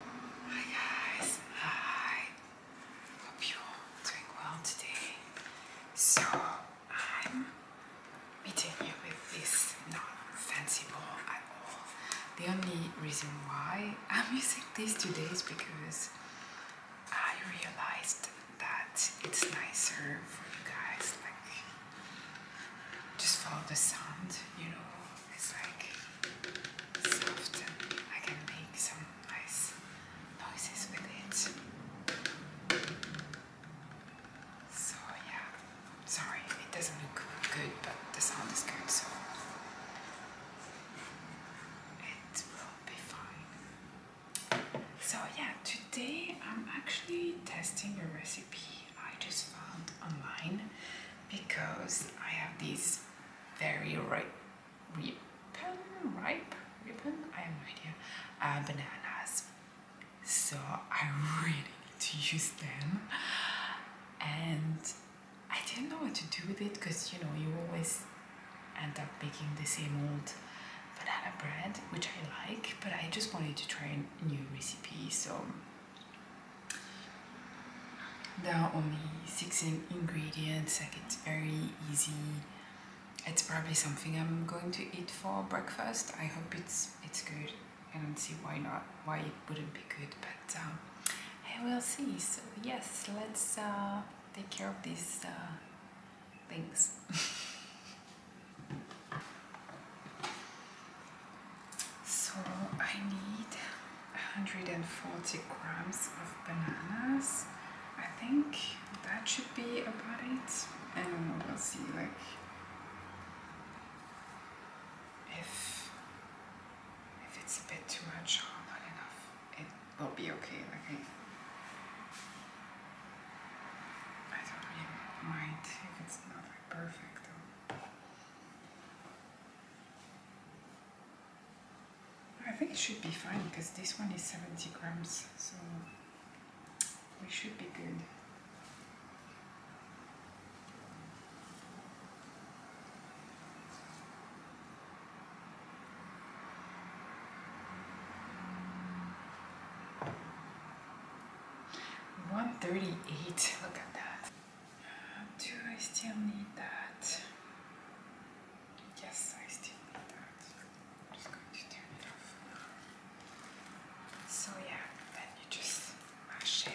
Hi guys, hi. Hope you're doing well today. So I'm meeting you with this not fancy ball at all. The only reason why I'm using this today is because I realized that it's nicer for you guys like just follow the sound, you know, is like soft and I can make some nice noises with it. So yeah, sorry, it doesn't look good, but the sound is good, so it will be fine. So yeah, today I'm actually testing a recipe I just found online because I have these very ripe, ripen, ripe, ripen, I have no idea, uh, bananas. So I really need to use them. And I didn't know what to do with it because, you know, you always end up making the same old banana bread, which I like, but I just wanted to try a new recipe. So there are only 16 ingredients like it's very easy it's probably something I'm going to eat for breakfast I hope it's it's good I don't see why not why it wouldn't be good but um, I will see so yes let's uh, take care of these uh, things So I need 140 grams of bananas. I think that should be about it. And we'll see like if if it's a bit too much or not enough, it will be okay. Like I, don't mind if it's not perfect though. I think it should be fine because this one is 70 grams, so we should be good. One thirty-eight. Look at that. Do I still need that? Yes, I still need that. I'm just going to turn it off. So yeah, then you just mash it.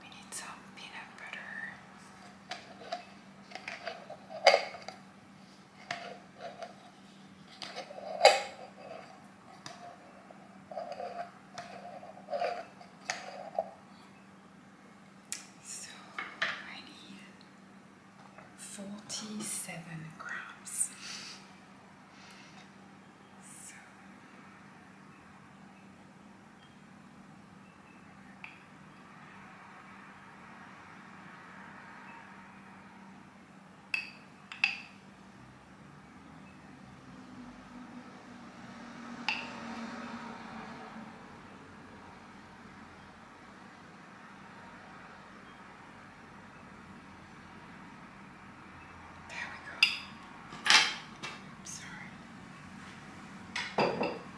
We need some peanut butter. So I need 47 grams. So there we go. I'm sorry.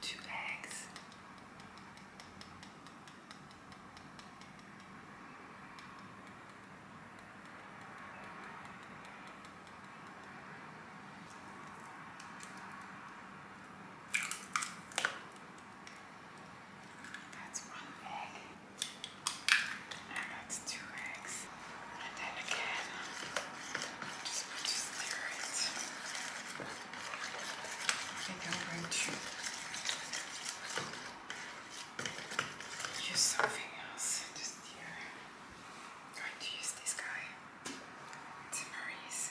two eggs. That's one egg. And that's two eggs. And then again. Just put this there. And I'm going to use something else. Just here. I'm going to use this guy. It's Maurice.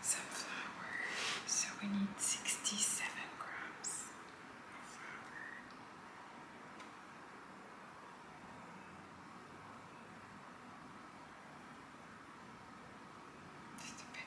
some flour. So we need 67 grams of flour. Just a bit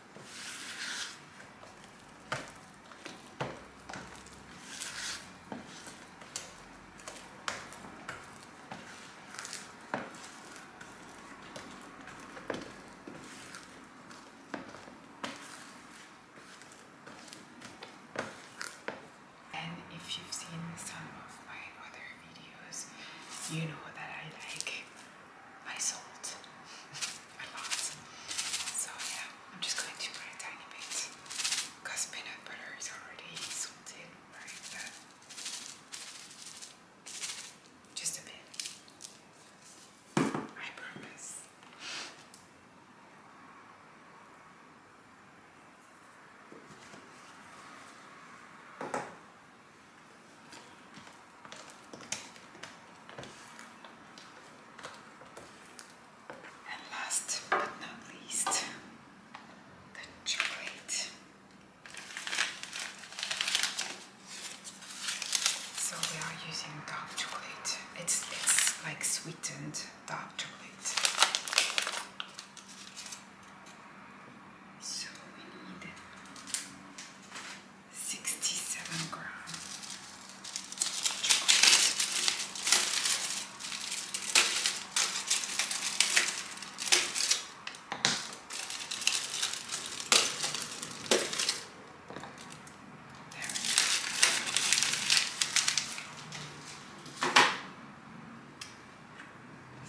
And if you've seen some of my other videos, you know that I like I sold a lot. So yeah, I'm just going to put a tiny bit because peanut butter is already salted, right? just a bit. I promise. And last but not least, chocolate. So we are using dark chocolate. It's it's like sweetened dark chocolate. So we need 67 grams.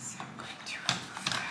There we go. So I'm going to remove that.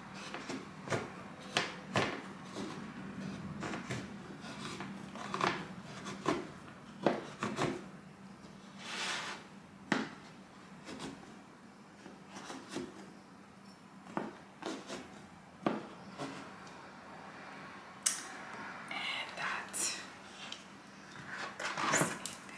And that comes in there.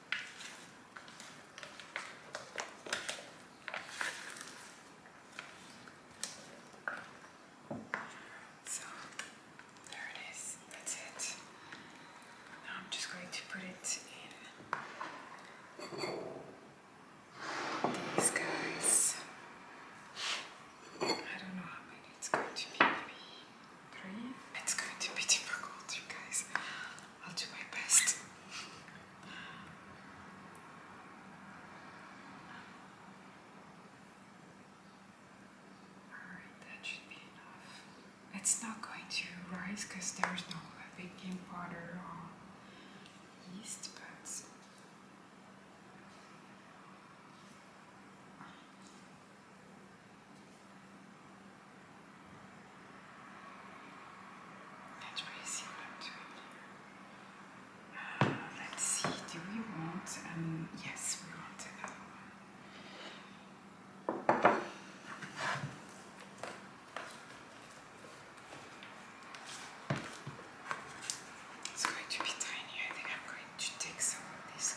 So there it is, that's it. Now I'm just going to put it in these guys. I don't know how many it's going to be, it's going to be difficult, you guys. I'll do my best. Alright, that should be enough. It's not going to rise because there's no baking powder or yeast, but. That's pretty similar uh, let's see, do we want, um, yes, we want another one. It's going to be tiny. I think I'm going to take some of this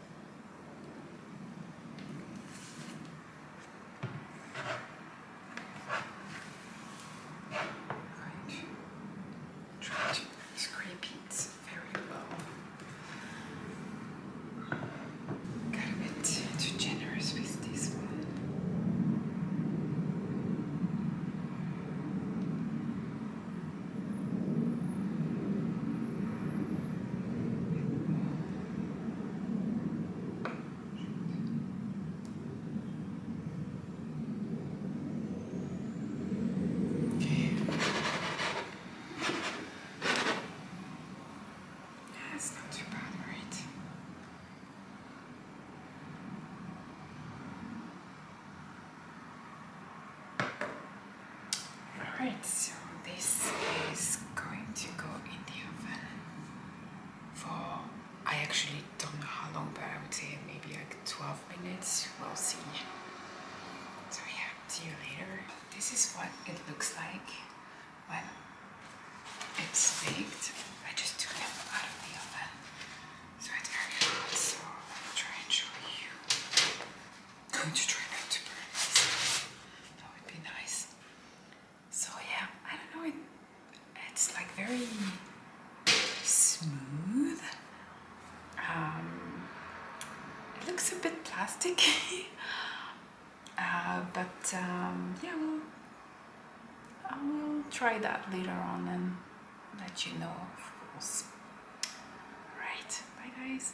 Right. Try to scrape it very well. Got a bit too generous with this one. Okay. That's not too bad, right? Alright, so this is going to go in the oven for, I actually don't know how long, but I would say maybe like 12 minutes, we'll see. So yeah, see you later. This is what it looks like when it's baked. I just took it out of the oven, so it's very hot, so I'll try and show you going to try not That would be nice. So yeah, I don't know. It, it's like very smooth. Um, it looks a bit plastic, uh, but um, yeah, we'll, will try that later on and let you know, of course. Right, bye guys.